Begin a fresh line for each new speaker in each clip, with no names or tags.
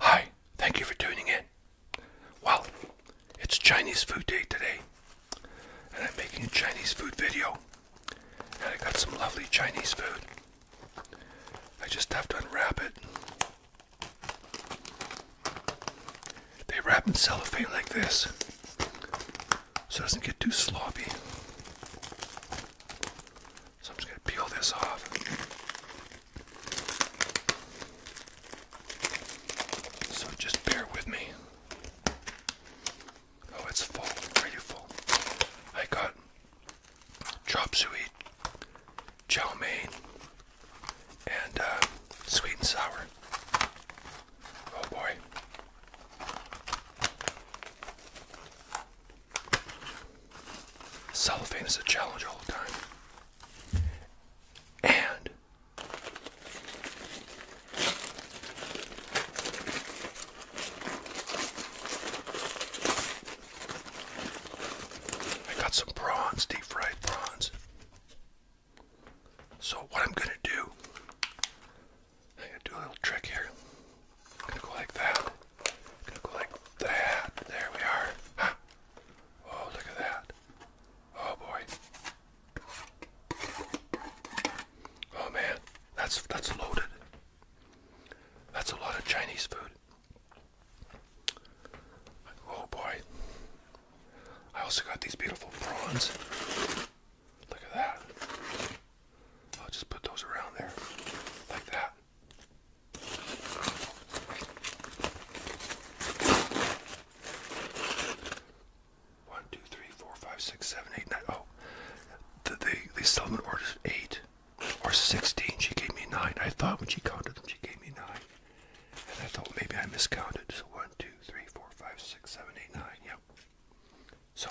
Hi, thank you for tuning in. Well, it's Chinese food day today, and I'm making a Chinese food video, and I got some lovely Chinese food. I just have to unwrap it they wrap in cellophane like this so it doesn't get too sloppy. So I'm just going to peel this off. So just bear with me. Oh, it's full, pretty full. I got chop suey, chow mein, and uh, sweet and sour. Oh boy. Cellophane is a challenge all the time. And I got some prawns, deep fried prawns. So, what I'm gonna do, I'm gonna do a little trick here. gonna go like that. gonna go like that. There we are. Oh, look at that. Oh boy. Oh man, that's that's loaded. That's a lot of Chinese food. Oh boy. I also got these beautiful prawns. Look at that. I'll just put those around there like that. One, two, three, four, five, six, seven, eight, nine. Oh, the, they, they sell them eight or 16. She gave me 9. I thought when she counted them, she gave me 9. And I thought maybe I miscounted. So 1, 2, 3, 4, 5, 6, 7, 8, 9. Yep. So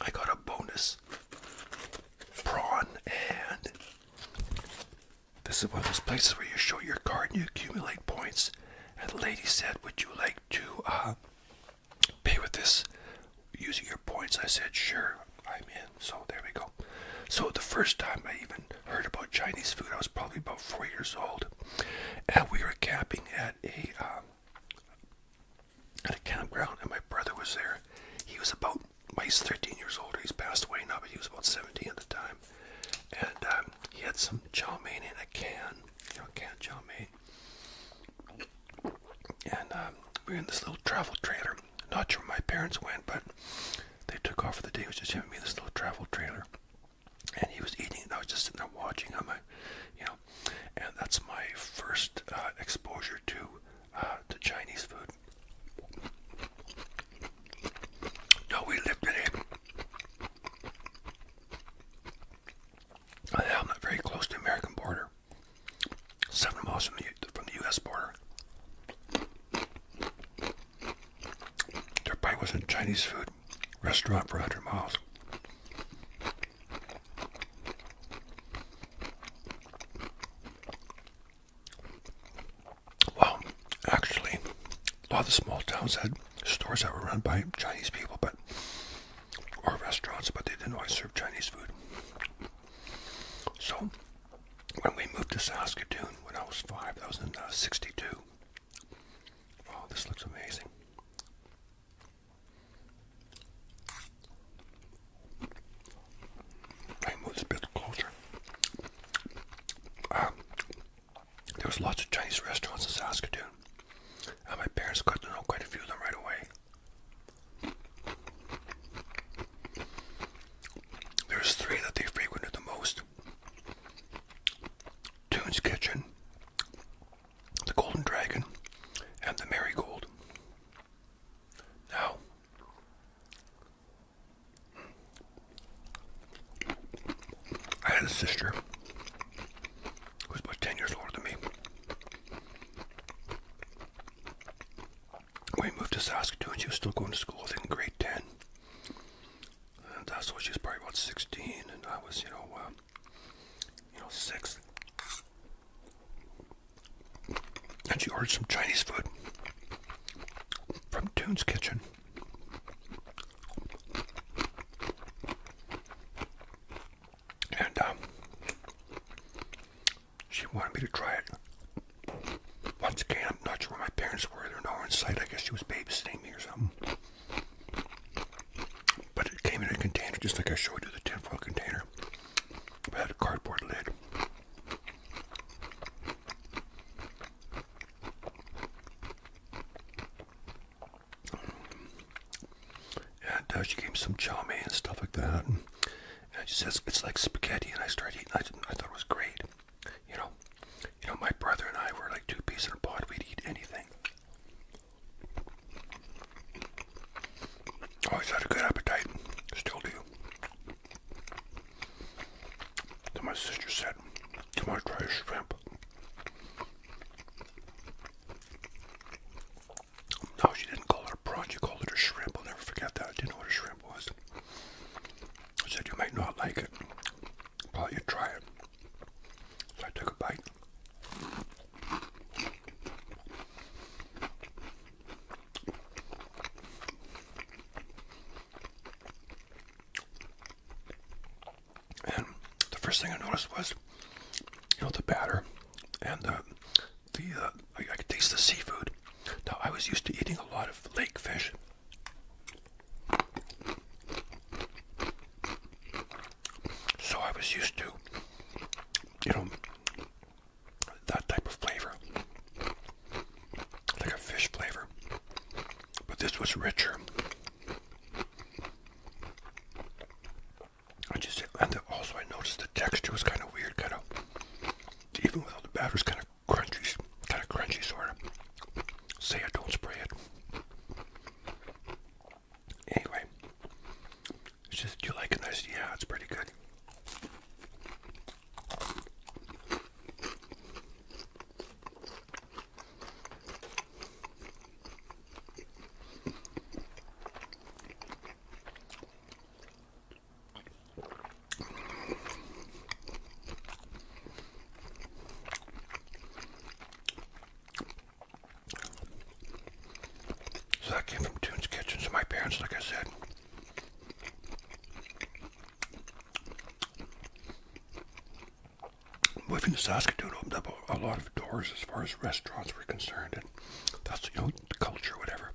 I got a bonus prawn and this is one of those places where you show your card and you accumulate points. And the lady said, would you like to uh, pay with this using your points? I said, sure. I'm in. So there we go. So the first time I even heard about Chinese food, I was probably about four years old, and we were camping at a um, at a campground, and my brother was there. He was about, well, he's 13 years old. He's passed away now, but he was about 17 at the time, and um, he had some chow mein in a can, you know, canned chow mein. And um, we are in this little travel trailer, not sure where my parents went, but they took off for the day. It was just giving me, this little travel trailer, and he was eating, and I was just sitting there watching him. I, you know, and that's my first uh, exposure to uh, to Chinese food. No, we lived in a. I'm not very close to American border seven miles from the from the U.S. border. There probably wasn't Chinese food restaurant for 100 miles. Well, actually, a lot of the small towns had stores that were run by Chinese people, but or restaurants, but they didn't always serve Chinese food. So when we moved to Saskatoon when I was five, that was in uh, 62. Oh, this looks amazing. I moved a bit closer. Uh, there was lots of Chinese restaurants in Saskatoon. And my parents got to know quite a few of them right away. There's three that they frequented the most. Toon's Kitchen, the Golden Dragon, and the Marigold. Now, I had a sister who was about 10 years older than me when we moved to Saskatoon, she was still going to school, I think, in grade 10. And uh, so she was probably about 16, and I was, you know, uh, you know, six. And she ordered some Chinese food from Toon's Kitchen. And um, she wanted me to try it. Once again, I'm not sure where my parents were. They're nowhere in sight. I guess she was babysitting me or something. But it came in a container, just like I showed you, the tinfoil container. It had a cardboard lid. Yeah, And does. Uh, she gave me some chow mein and stuff like that. And she says it's like spaghetti, and I started eating. I, I thought it was great. You know, you know, my brother and I were like two peas in a pod. We'd eat anything. Always had a good appetite. Still do. Then my sister said, "Do on, try shrimp." No, she didn't call it a prawn. She called it a shrimp. I'll never forget that. I didn't know what a shrimp was. I said, You might not like it, but you try it. So I took a bite. And the first thing I noticed was, you know, the batter and the the uh, I, I could taste the seafood. Now I was used to eating a lot of lake fish. So I was used to, you know, that type of flavor, like a fish flavor. But this was richer. I just and also I noticed the texture was kind of weird, kind of even with all the batters, kind of of crunchy, kind of crunchy sort of. Say I don't spray it. Anyway, it's just, you like this? Yeah, it's pretty good. So that came from Tune's Kitchen. So my parents, like I said, moving to Saskatoon opened up a, lot of doors as far as restaurants were concerned, and that's you know the culture, whatever.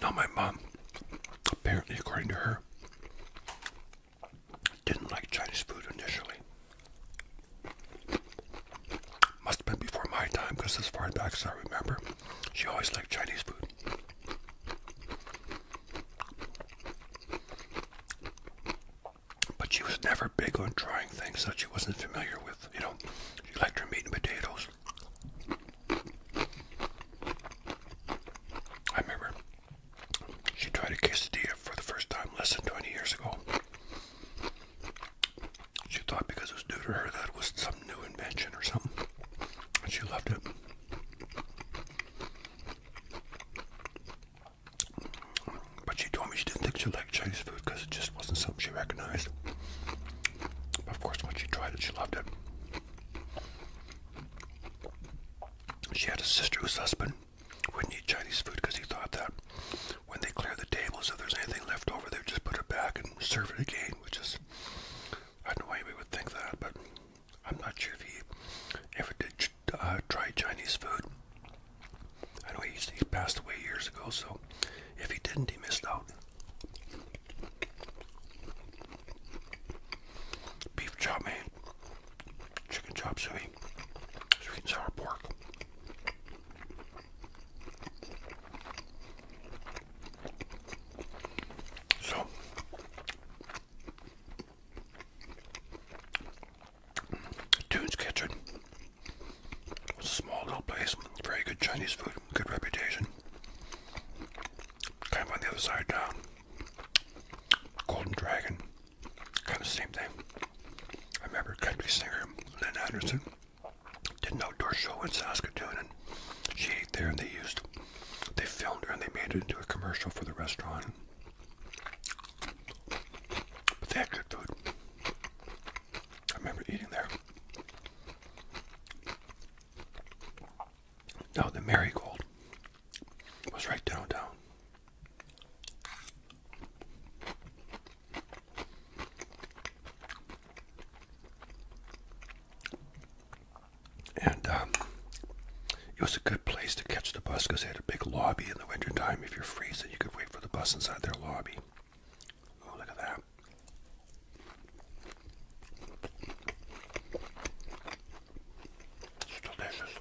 Now, my mom, apparently, according to her, didn't like Chinese food initially. Must have been before my time, because as far back as I remember, she always liked Chinese food. But she was never big on trying things that she wasn't familiar with. You know, she liked her meat and potatoes, I remember she tried a quesadilla for the first time less than 20 years ago. She thought because it was new to her that it was some new invention or something. And she loved it. But she told me she didn't think she liked Chinese food because it just wasn't something she recognized. But of course, when she tried it, she loved it. She had a sister whose husband wouldn't eat Chinese food because he thought that when they clear the tables, if there's anything left over, they would just put it back and serve it again, which is, I don't know why anybody would think that, but I'm not sure if he ever did uh, try Chinese food. I know he, he passed away years ago, so if he didn't, he missed out. Beef chop mein, chicken chop suey, sweet and sour pork. So, Tune's Kitchen it's a small little place, very good Chinese food, good reputation. Kind of on the other side now. Uh, Golden Dragon, kind of same thing. I remember country singer Lynn Anderson did an outdoor show in Saskatoon, and she ate there, and they used, they filmed her, and they made it into a commercial for the restaurant. But they had good food. I remember eating there. No, the Marigold was right down, And um, it was a good place to catch the bus because they had a big lobby in the wintertime. If you're freezing, you could wait for the bus inside their lobby. Oh, look at that. It's delicious.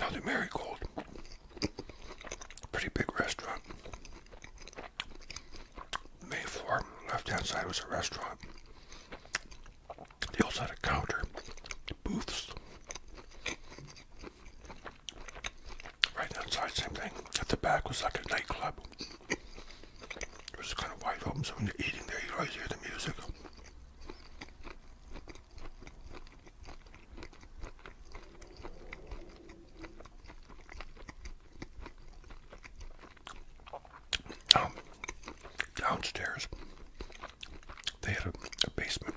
Now the Marigold, pretty big restaurant. May 4, left hand side was a restaurant. They also had a counter, booths. Right outside, same thing. At the back was like a nightclub. It was kind of wide open, so when you're eating there, you always hear the music. Um, downstairs they had a, basement.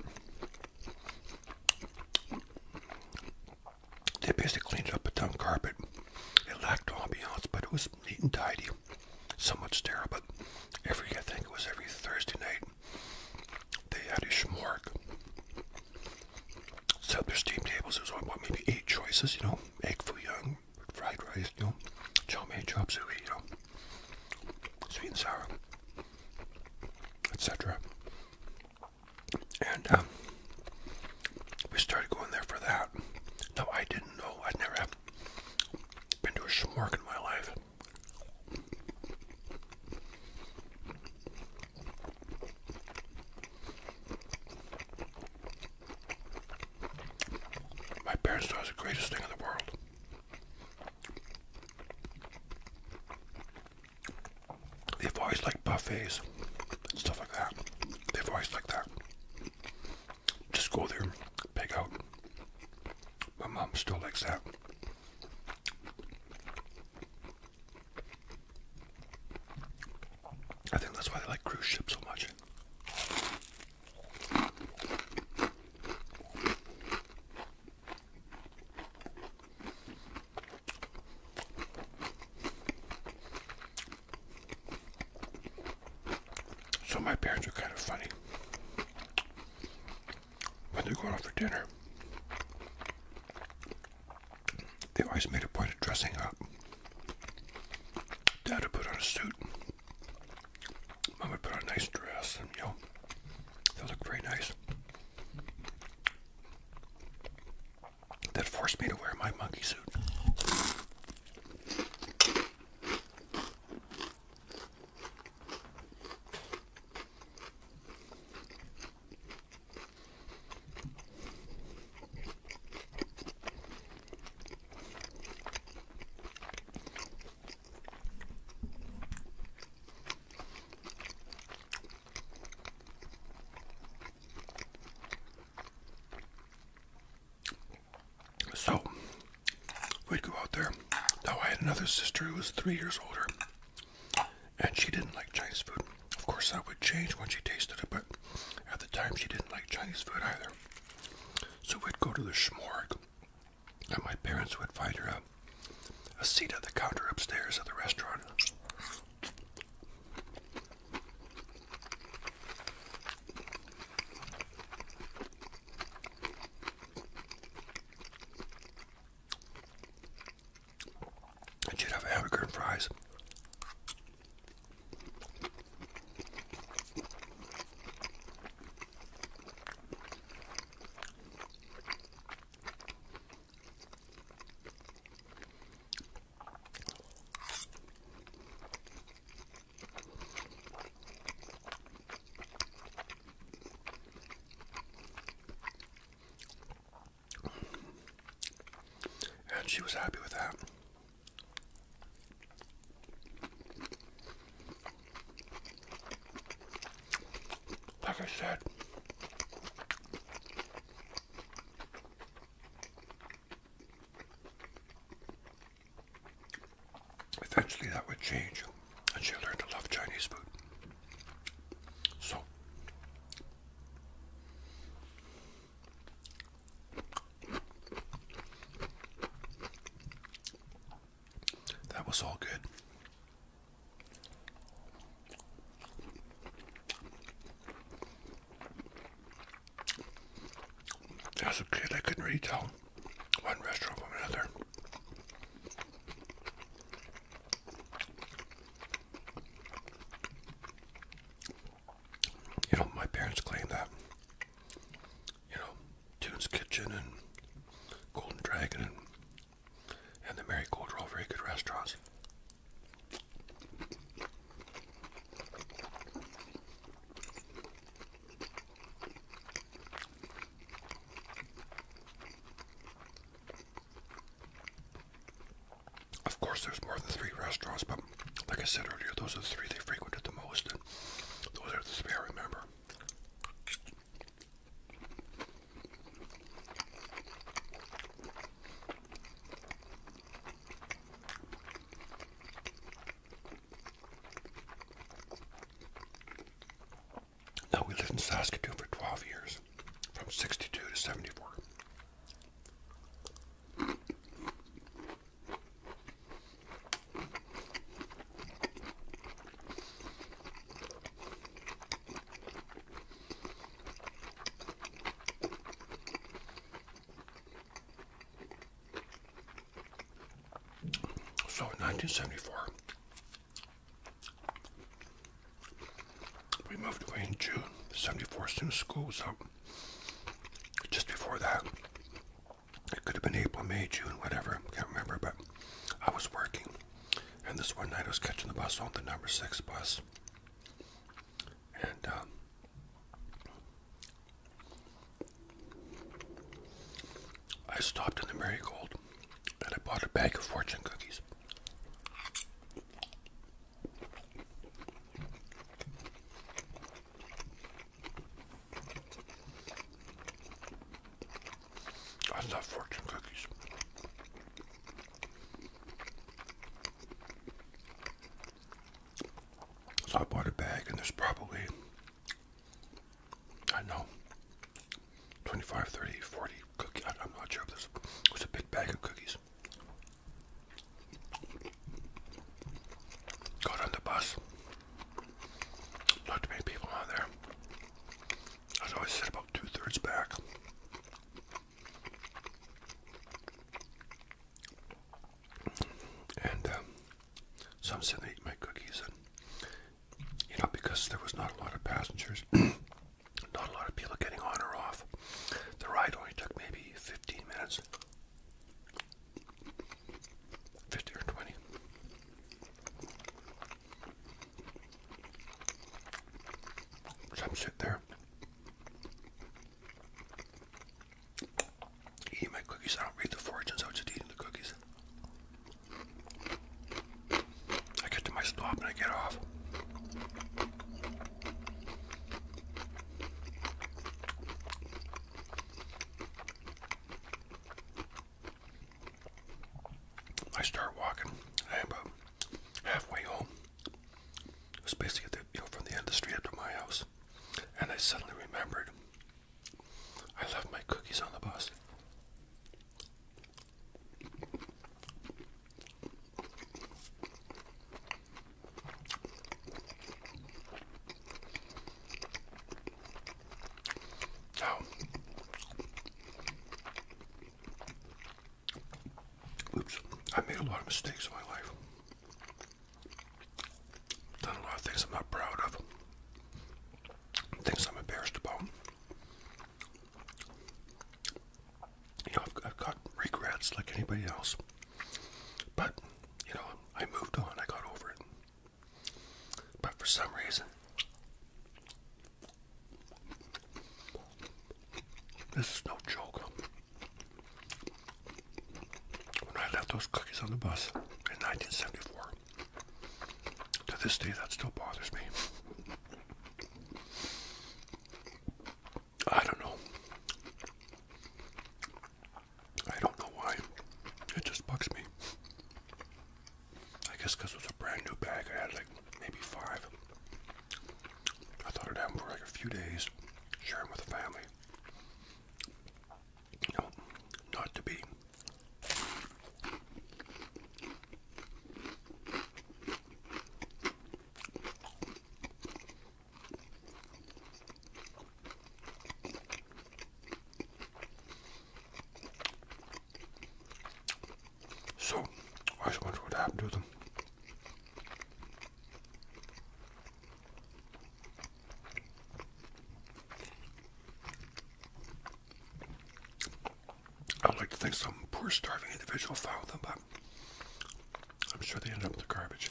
They basically cleaned up a ton of carpet. It lacked ambiance, but it was neat and tidy, somewhat sterile. But every, I think it was every Thursday night, they had a schmorg. So there's steam tables. There was what, maybe eight choices, you know, egg foo young, fried rice, you know, chow mein, chop suey, you know, sweet and sour, etc. And um, we started going there for that. No, I didn't know. I'd never been to a schmork in my life. My parents thought it was the greatest thing in the world. They've always liked buffets, stuff like that. They've always liked that. Just go there, pick out. My mom still likes that. I think that's why they like cruise ships so much. So my parents are kind of funny when they're going out for dinner. They always made a point of dressing up. Dad would put on a suit. Mama put on a nice dress and you they looked very nice. That forced me to wear my monkey suit. So we'd go out there. Now I had another sister who was three years older, and she didn't like Chinese food. Of course, that would change when she tasted it, but at the time she didn't like Chinese food either. So we'd go to the shmorg, and my parents would find her a, a seat at the counter upstairs at the restaurant. And she'd have hamburger and fries. And she was happy with that. Like I said, eventually that would change and she learned to love Chinese food. So, that was all good. As a kid, I couldn't really tell one restaurant from another. You know, my parents claim that you know, Tune's Kitchen and Golden Dragon and, and the Marigold are all very good restaurants. Of course, there's more than three restaurants, but like I said earlier, those are the three they frequented the most, and those are the three I remember. Now we lived in Saskatoon for 12 years, from 62 to 74. So, 1974, we moved away in June. 74 since school was out just before that, it could have been April, May, June, whatever. I can't remember, but I was working. And this one night I was catching the bus on the number six bus. And um, I stopped in the Marigold and I bought a bag of fortune cookies. I love fortune cookies. So I bought a bag, and there's probably, I know, 25, 30, I'm not sure, if it was a big bag of cookies. Got on the bus. Not too many people on there. I was always set about two-thirds back. And um, some said they ate my cookies, and you know, because there was not a lot of passengers, not a lot of people getting on or off, the ride only took maybe 15 minutes. 50 or 20. Some shit there. Eating my cookies. I don't read the fortunes, I was just eating the cookies. I get to my stop and I get off. I start walking. I about halfway home. It was basically from the end of the street up to my house. And I suddenly remembered I left my cookies on the bus. Oh. Oops, I made a lot of mistakes in my life. Done a lot of things I'm not proud of, things I'm embarrassed about. You know, I've, got regrets like anybody else, but you know, I moved on, I got over it. But for some reason, this is no joke. When I left those cookies on the bus in 1974, to this day that still bothers me. I don't know. I don't know why. It just bugs me. I guess it was a brand new bag. I had like maybe five. I thought I'd have them for like a few days, share them with the family. No, not to be. So, I wonder what happened to them. I would like to think some poor starving individual found them, but I'm sure they ended up in the garbage.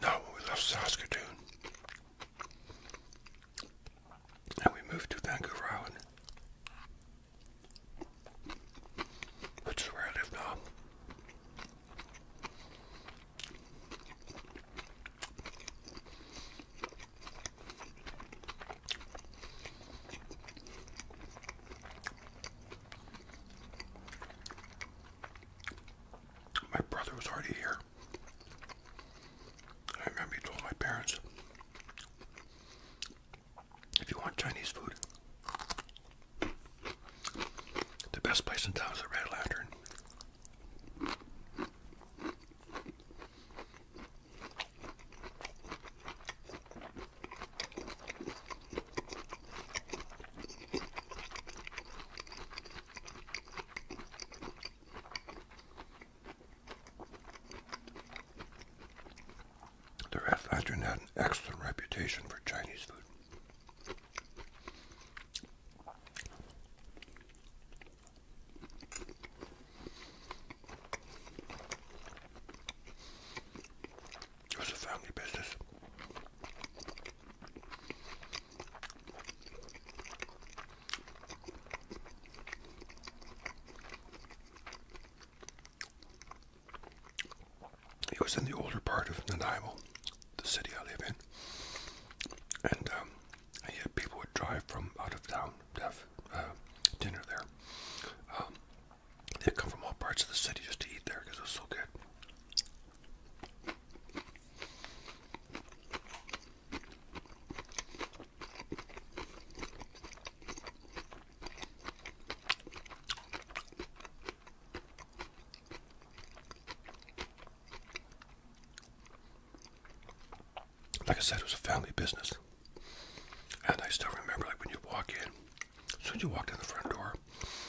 Now we left Saskatoon, and we moved to Vancouver which is where I live My brother was already here. I remember he my parents, if you want Chinese food, the best place in town is the Red Lantern. The restaurant had an excellent reputation for Chinese food. It was a family business. It was in the older part of Nanaimo, the city I live in, and yeah, um, people would drive from out of town to have uh, dinner there. Um, they'd come from all parts of the city just to eat there because it was so good. Like I said, it was a family business. And I still remember, like, when you walk in, as soon as you walked in the front door,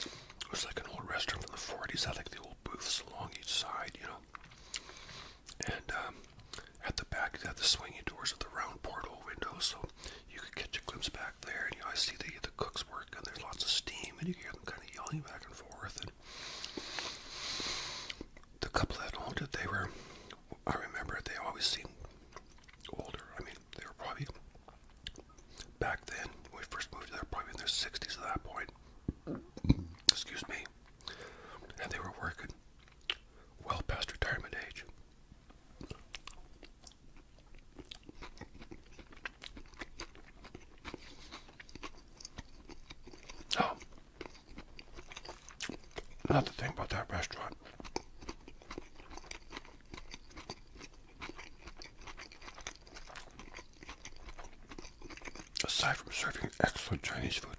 it was like an old restaurant from the 40s, had like the old booths along each side, you know. And um, at the back, you have the swinging doors with the round portal windows, so you could catch a glimpse back there. And you always see the, the cooks work, and there's lots of steam, and you hear them kind of yelling back and forth. And the couple that owned it, they were, I remember, they always seemed older. I mean, they were probably back then when we first moved, they were probably in their 60s at that point excuse me, and they were working well past retirement age. Oh, another thing about that restaurant. Aside from serving excellent Chinese food,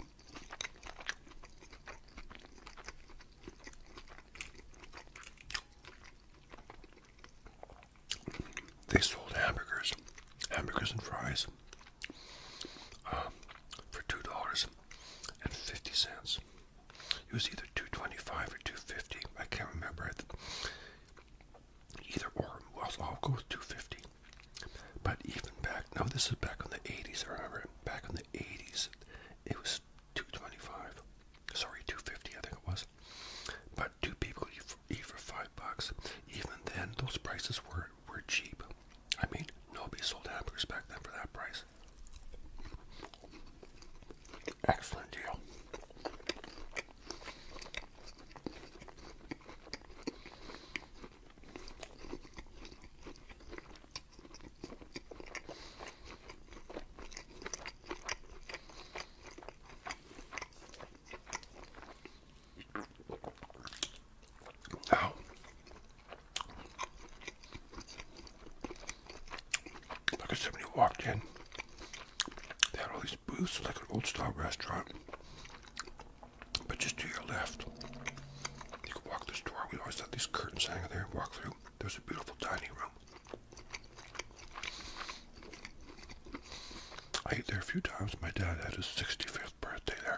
they sold hamburgers, hamburgers and fries um, for two dollars and fifty cents. It was either two twenty-five or two fifty. I can't remember it. Either or, well, I'll go with 250. But even back, no, this is back in the 80s, I remember, back in the 80s, it was 225. Sorry, 250, I think it was. But two people for five bucks. Even then, those prices were, were cheap. I mean, nobody sold hamburgers back then for that price. Excellent deal. Now, look at somebody walked in they had all these booths like an old style restaurant. But just to your left, you could walk this door. We always had these curtains hanging there and walk through. There's a beautiful dining room. I ate there a few times. My dad had his 65th birthday there.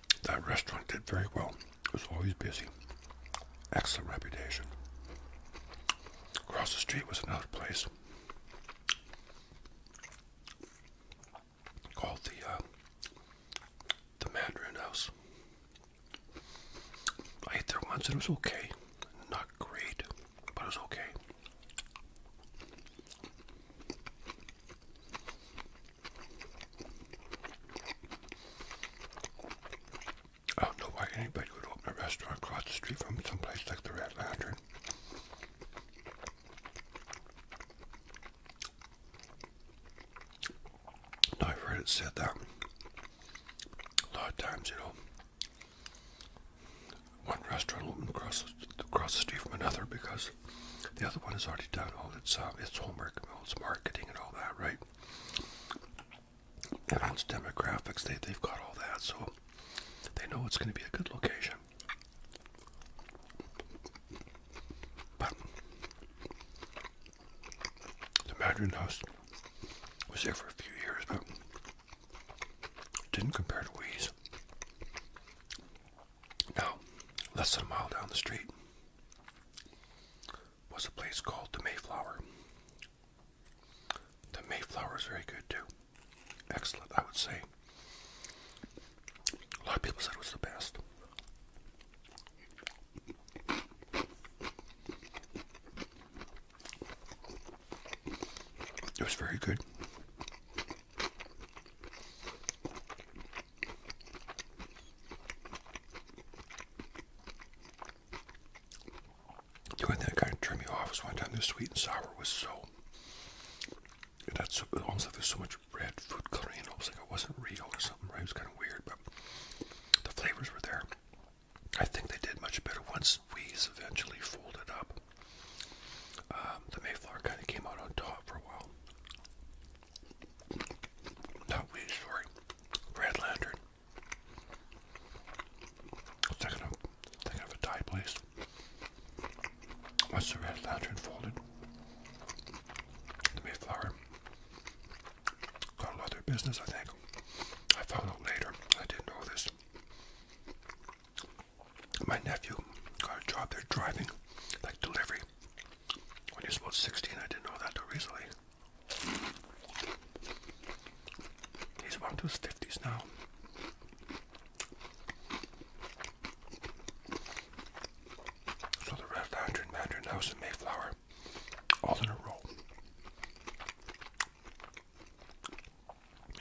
That restaurant did very well. It was always busy. Excellent reputation. Across the street was another place called the uh, the Mandarin House. I ate there once and it was okay. Not great, but it was okay. I don't know why anybody would open a restaurant across the street from some place like the Red Lantern. I've heard it said that a lot of times, you know, one restaurant opened across the, across the street from another because the other one has already done. All its um, its homework, all its marketing, and all that, right? And all its demographics, they they've got all that, so they know it's going to be a good location. But the Mandarin House was there for a few years, but didn't compare to Wheeze. Now, less than a mile down the street was a place called the Mayflower. The Mayflower is very good too. Excellent, I would say. A lot of people said it was the best. It was very good. The that kind of turned me off was one time the sweet and sour was so. That's almost like there's so much red food coloring. almost like it wasn't real or something. It was kind of weird, but the flavors were there. I think they did much better once we eventually folded up. Um, the Mayflower kind of came out on top for a while. Not we, sorry. Red Second of, second of a tie place. Once the Red Lantern folded, the Mayflower got a business, I think. I found out later. I didn't know this. My nephew got a job there driving, like delivery, when you're supposed 16, I didn't know that till recently. He's about to his 50s now. So the rest 100 Mandarin House in Mayflower, all in a row.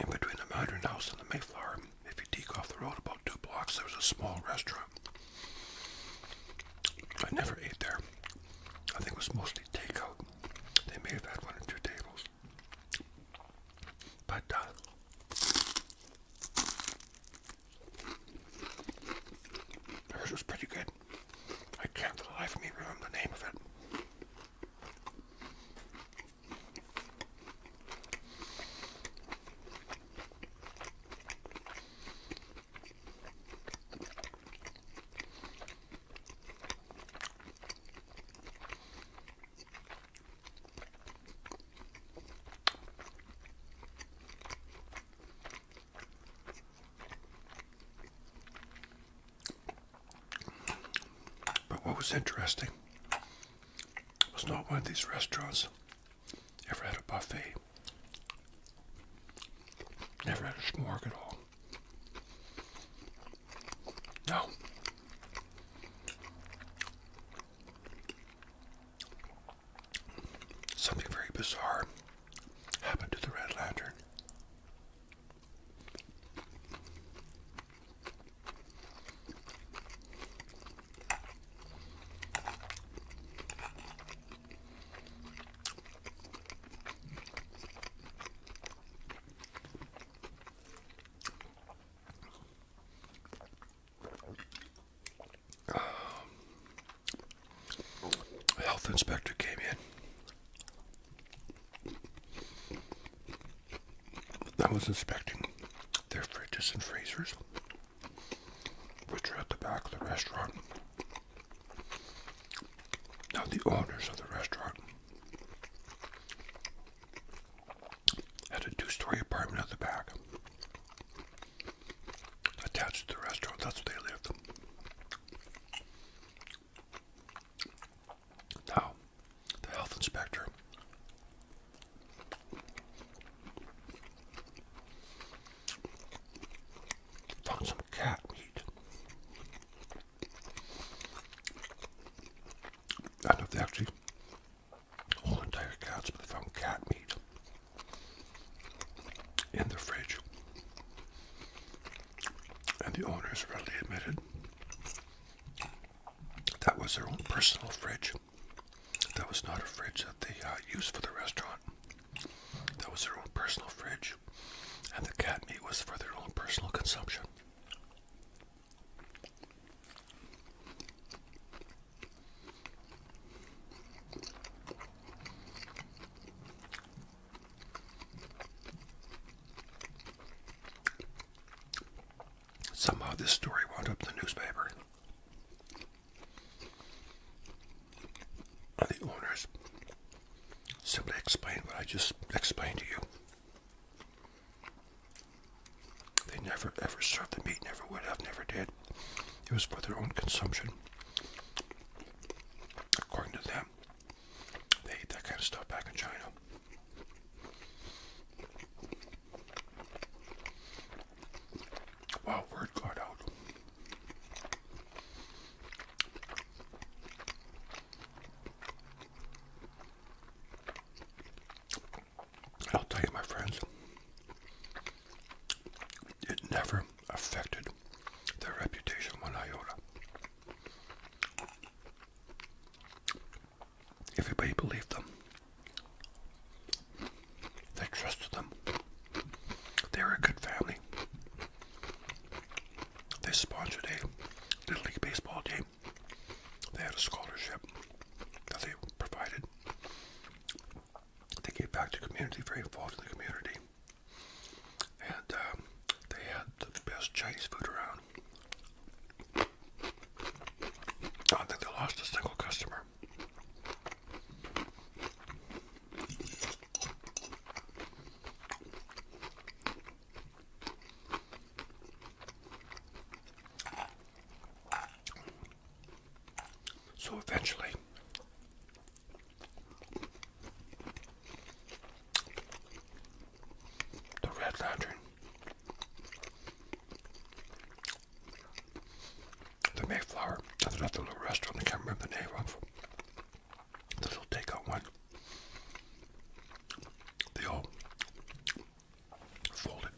In between the Mandarin House and the Mayflower, if you take off the road about two blocks, there's a small restaurant. I never ate there. I think it was mostly takeout. They may have had one or two tables. But, uh, hers was pretty good. I can't for the life of me remember the name of it. But what was interesting was not one of these restaurants. Ever had a buffet? Never had a smorgasbord at all. No. Something very bizarre happened to the Red Lantern. A um, health inspector came in. I was inspecting their fridges and freezers which are at the back of the restaurant. Now, the owners of the restaurant had a two story apartment at the back attached to the restaurant. That's where they lived. Now, the health inspector Found some cat meat. I know they actually whole entire cats, but they found cat meat in the fridge. And the owners readily admitted that was their own personal fridge. That was not a fridge that they uh, used for the restaurant. That was their own personal fridge, and the cat meat was for their own personal consumption. Somehow this story wound up in the newspaper the owners simply explained what I just explained to you. They never ever served the meat, never would have, never did. It was for their own consumption. According to them, they ate that kind of stuff back in China. Wow, word got out. I'll tell you, my friends, it never affected their reputation when one iota. Everybody believed them. I trusted them. They were a good family. They sponsored a Little League baseball team. They had a scholarship that they provided. They gave back to the community, very involved in the community. And um, they had the best Chinese food around. I not think they lost a single customer. So eventually, the Red Lantern the Mayflower. That's not the little restaurant. I can't remember the name of. The little takeout one. They all folded.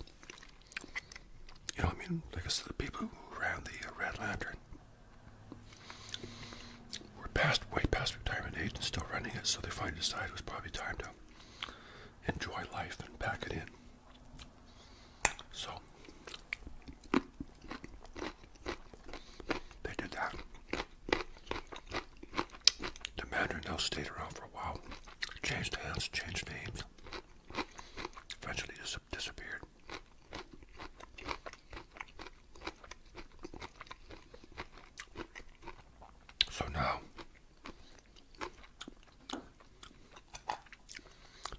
You know what I mean? Like I said, the people who ran the uh, Red Lantern were past way past retirement age and still running it, so they finally decided it was probably time to enjoy life and pack it in. So they did that. The Mandarin now stayed around for a while, changed hands, changed names, eventually dis disappeared. So now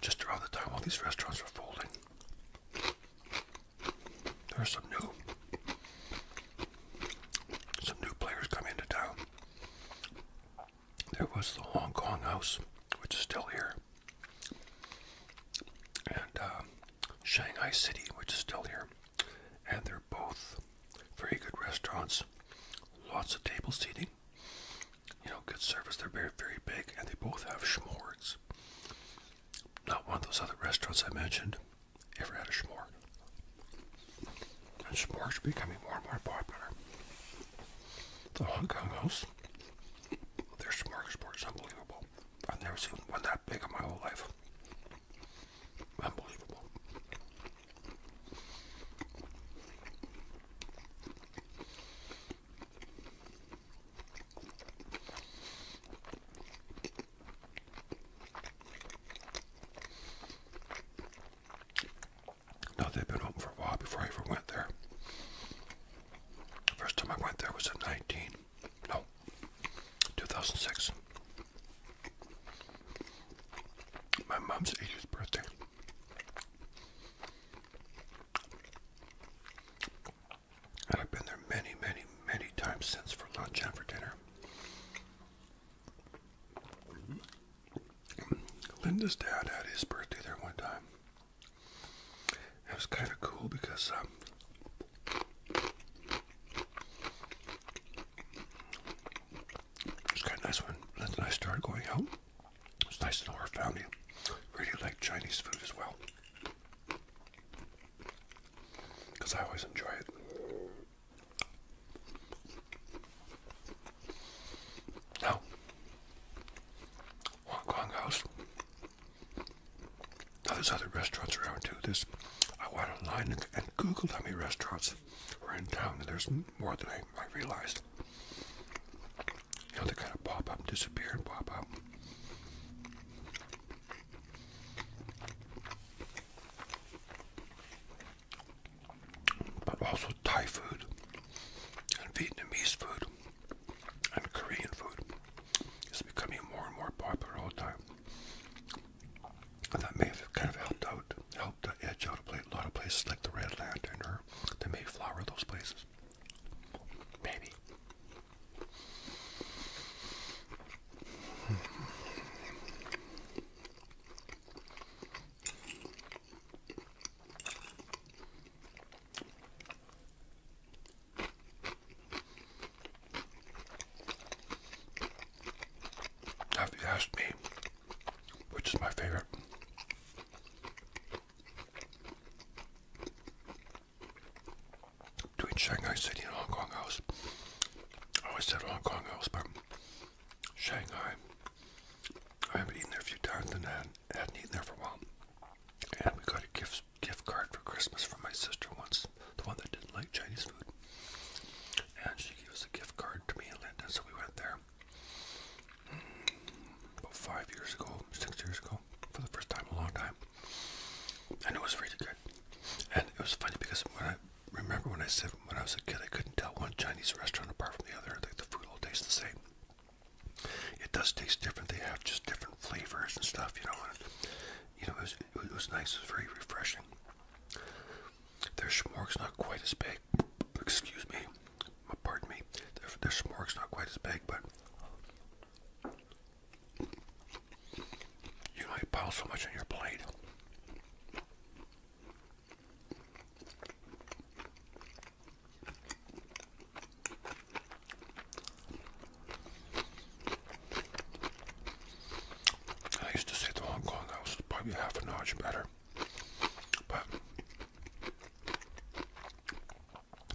just around the time all these restaurants were folding, there are some new some new players come into town. There was the Hong Kong House, which is still here, and uh, Shanghai City, which is still here, and they're both very good restaurants, lots of table seating, you know, good service. They're very, very big, and they both have schmorts. Not one of those other restaurants I mentioned ever had a schmort. And schmorts are becoming more and more popular. The Hong Kong house, their schmort sport is unbelievable. I've never seen one that big in my whole life. Unbelievable. Now they've been open for a while before I ever went there. First time I went there was in 19, no, 2006. My mom's 80th birthday. I've been there many, many, many times since for lunch and for dinner. Linda's dad had his birthday there one time. It was kind of cool because um, it was kind of nice when Linda and I started going out. It's nice to know our family. Really like Chinese food as well. Because I always enjoy it. Now, Hong Now, there's other restaurants around too. There's I went online and, google Googled how restaurants we're in town, and there's more than I, I realized. You know, they kind of pop up, disappear, and pop up. But also Thai food, and Vietnamese food, and Korean food is becoming more and more popular all the time. And that may have kind of helped out, helped edge out a lot of places like the Red Lantern or Mayflower, the Mayflower, those places. Maybe. If you asked me which is my favorite. Between Shanghai City and Hong Kong House. I always said Hong Kong House, but Shanghai. I haven't eaten there a few times and hadn't eaten there for a while. And we got a gift gift card for Christmas from my sister once, the one that didn't like Chinese food. And she gave us a gift card to me and Linda, so we went there about five years ago, six years ago, for the first time a long time. And it was really good. And it was funny because when I remember when I was a kid, I couldn't tell one Chinese restaurant apart from the other. Like the food all tastes the same. It does taste different. They have just different flavors and stuff, you know. you know, it was, nice. It was very refreshing. Their schmorg's not quite as big. Excuse me pardon me, their, their smorg's not quite as big, but you might pile so much on your plate. I used to say the Hong Kong house is probably half an inch better. But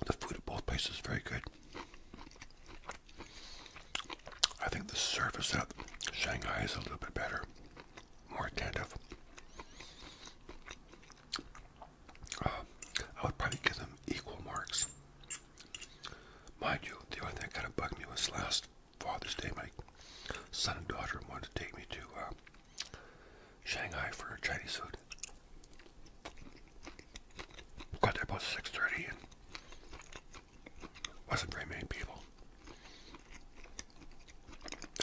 the food at both places is very good. I think the service at Shanghai is a little bit better, more attentive. Uh, I would probably give them equal marks. Mind you, the only thing that kind of bugged me was last Father's Day, my son and daughter wanted to take me to uh, Shanghai for Chinese food. Got there about 6.30 and wasn't very many people.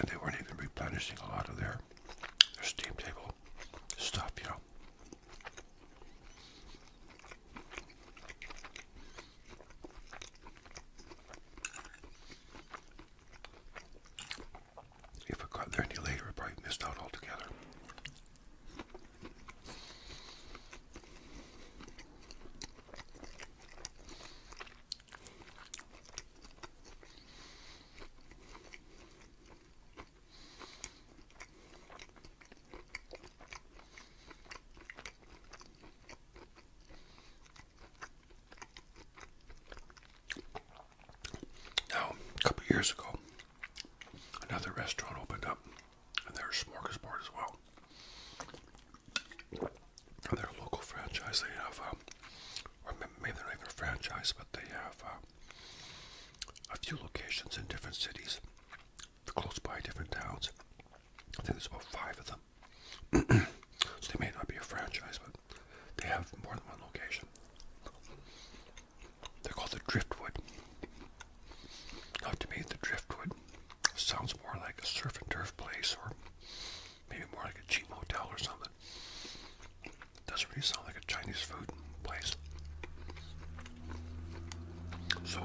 And they weren't even replenishing a lot of their, their steam table stuff, you know. If I got there any later, I probably missed out altogether. Now, a couple years ago, another restaurant opened up, and their smorgasbord as well. And a local franchise, they have, um, maybe they're not even a franchise, but they have uh, a few locations in different cities, close by different towns. I think there's about five of them. so they may not be a franchise, but they have more than one location. They're called the Driftwood. Now, to me, the Driftwood sounds more like a surf and turf place, or maybe more like a cheap motel or something. doesn't really sound like a Chinese food place. So,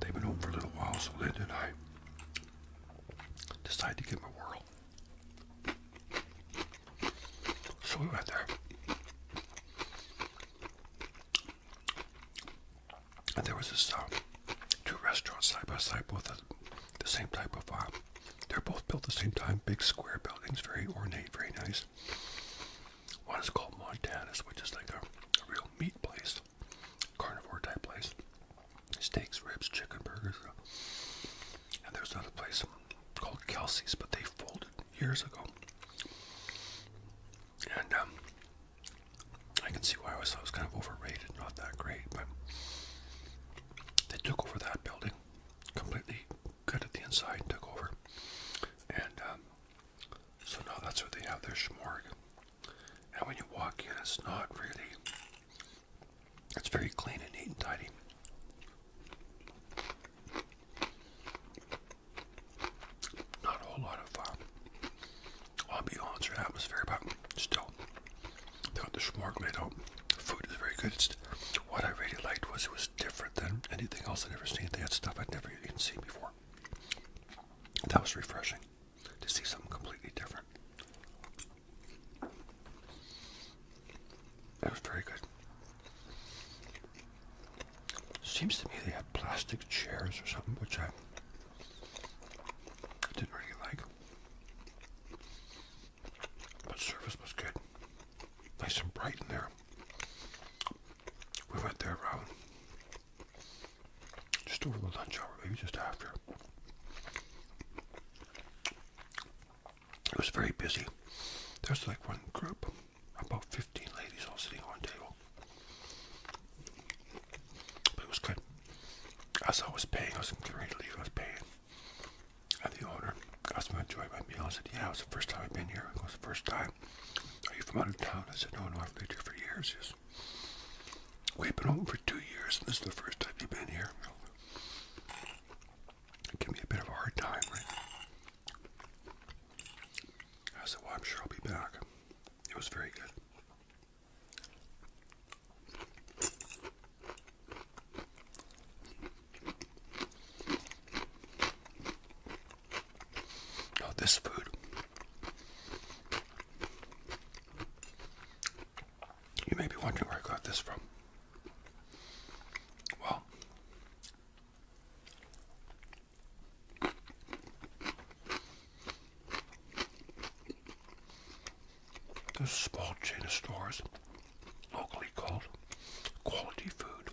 they've been open for a little while, so Linda and I decided to give them a whirl. So we went there. And there was this uh, two restaurants side by side, both the, the same type of. Uh, they're both built the same time, big square buildings, very ornate, very nice. One is called Montana's, which is like a real meat place carnivore type place. Steaks, ribs, chicken burgers. And there's another place called Kelsey's, but they folded years ago. And um, I can see why I always thought was kind of overrated, not that great, but they took over that building, completely gutted the inside, and took over. And um, so now that's what they have their shmorg. And when you walk in, it's not really it's very clean and neat and tidy. Not a whole lot of um, ambiance or atmosphere, but still, got the schmorg Food is very good. what I really liked was it was different than anything else I'd ever seen. They had stuff I'd never even seen before. That was refreshing to see something completely different. That was very good. Seems to me they have plastic chairs or something, which I didn't really like. But service was good. Nice and bright in there. We went there around just over the lunch hour, maybe just after. It was very busy. There was like one group, about 15 ladies all sitting on one table. But it was good. As I was paying, I was getting ready to leave, I was paying. And the owner asked me to enjoy my meal. I said, yeah, it was the first time I've been here. It was the first time. Are you from out of town? I said, no, no, I've lived here for years. Yes. We've been home for two years, and this is the first time you've been here. Give me a bit of hard time, right? I said, well, I'm sure I'll be back. It was very good. Now, this food you may be wondering where I got this from. Well, there's small chain of stores locally called Quality Food.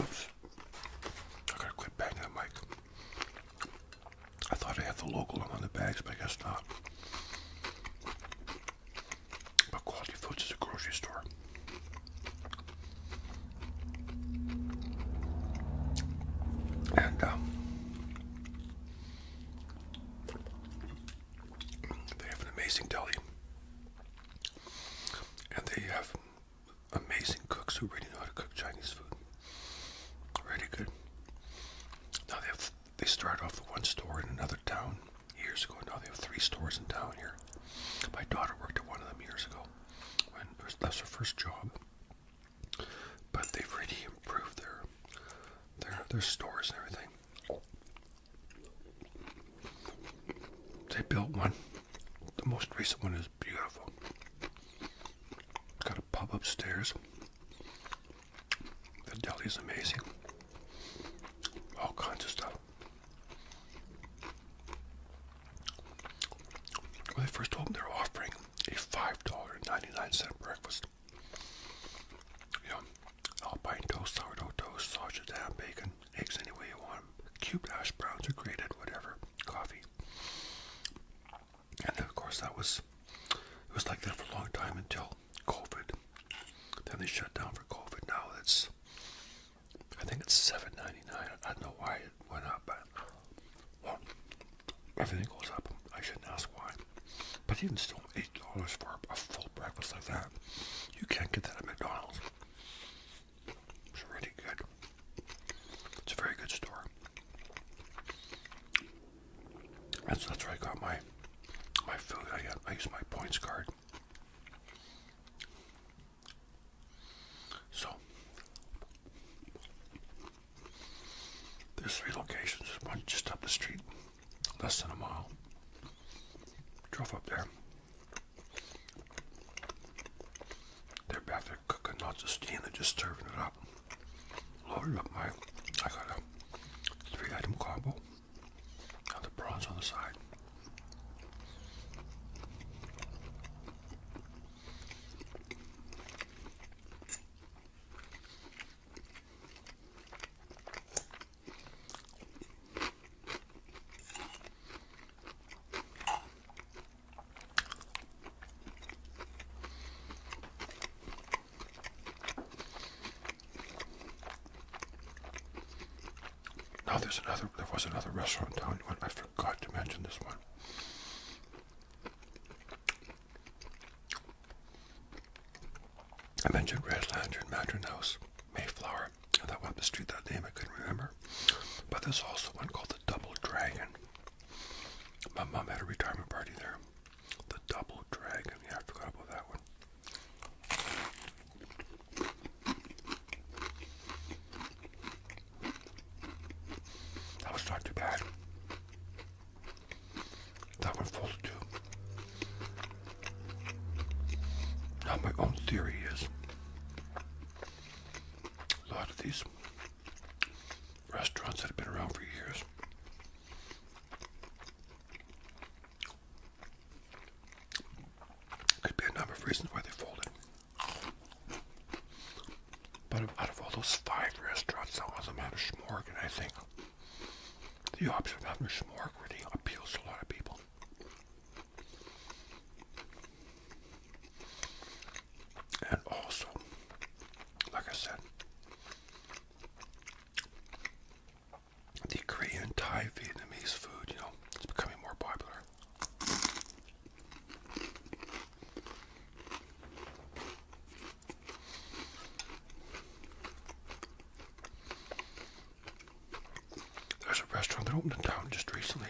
Oops. I gotta quit banging the mic. I thought I had the local on the bags, but I guess not. But Quality Foods is a grocery store. And um, they have an amazing deli. And they have amazing cooks who really know how to cook Chinese food. Really good. Now they they started off with one store in another town years ago. Now they have three stores in town here. My daughter worked at one of them years ago when that's her first job. But they've really improved their their their stores and everything. They built one. The most recent one is beautiful. Got a pub upstairs. The deli's amazing. All kinds of stuff. When they first opened, they were offering a 5 breakfast. You alpine toast, sourdough toast, sausage, ham, bacon, eggs any way you want um, cubed hash browns or grated whatever coffee. And of course, that was it was like that for a long time until COVID. Then they shut down for COVID. Now it's I think it's $7.99. I don't know why it went up, but everything goes up. I shouldn't ask why. But even still, $8 for a full breakfast like that, you can't get that at McDonald's. It's really good. It's a very good store. That's that's where I got my my food. I got uh, used my points card. So there's three locations. One just up the street, less than a mile. Drove up there. Their cooking, not the steam, they just serving it up. Loaded up my, I got a three item combo. Got the prawns on the side. Now there's another. There was another restaurant down. I forgot to mention this one. I mentioned Red Lantern, Mandarin House, Mayflower, and that one up the street that name I couldn't remember. But there's also one called the. Double Dragon. My mom had a retirement party there. The Double Dragon. Yeah, I forgot about that one. That was not too bad. That one folded too. Now my own theory is a lot of these restaurants that have been around for years. Could be a number of reasons why they folded. But out of all those five restaurants, some of them had a smorg, I think the option of having a smorg really appeals to a lot of people. And also, like I said, the Korean, Thai, Vietnamese food, you know, it's becoming more popular. There's a restaurant that opened in town just recently.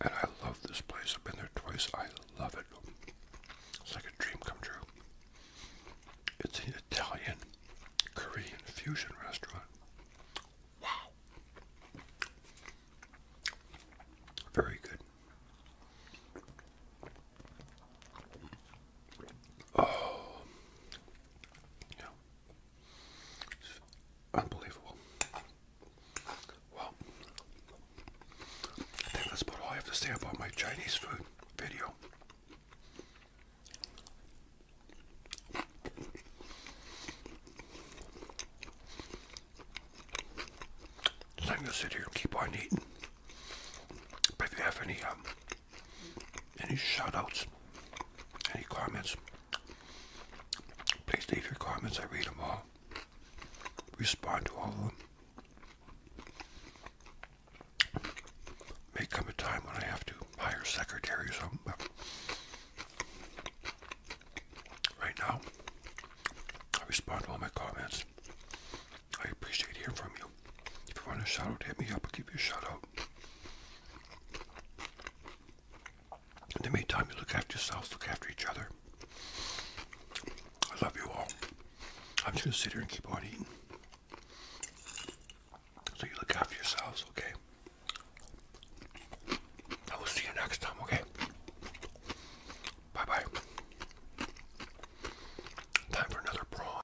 And I love this place. I've been there twice. I love it. It's like a dream come true. It's an Italian Korean fusion restaurant. Wow. Very good. Oh, yeah unbelievable. Well, I think that's about all I have to say about my Chinese food video. So I'm gonna sit here and keep on eating. But if you have any um, any shout any comments, Please leave your comments. I read them all. Respond to all of them. May come a time when I have to hire secretaries. secretary or but right now, I respond to all my comments. I appreciate hearing from you. If you want a shout out, hit me up. I'll give you a shout out. In the meantime, you look after yourselves, look after each other. I love you all. I'm just gonna sit here and keep on eating. So you look after yourselves, okay? I will see you next time, okay? Bye bye. Time for another prawn.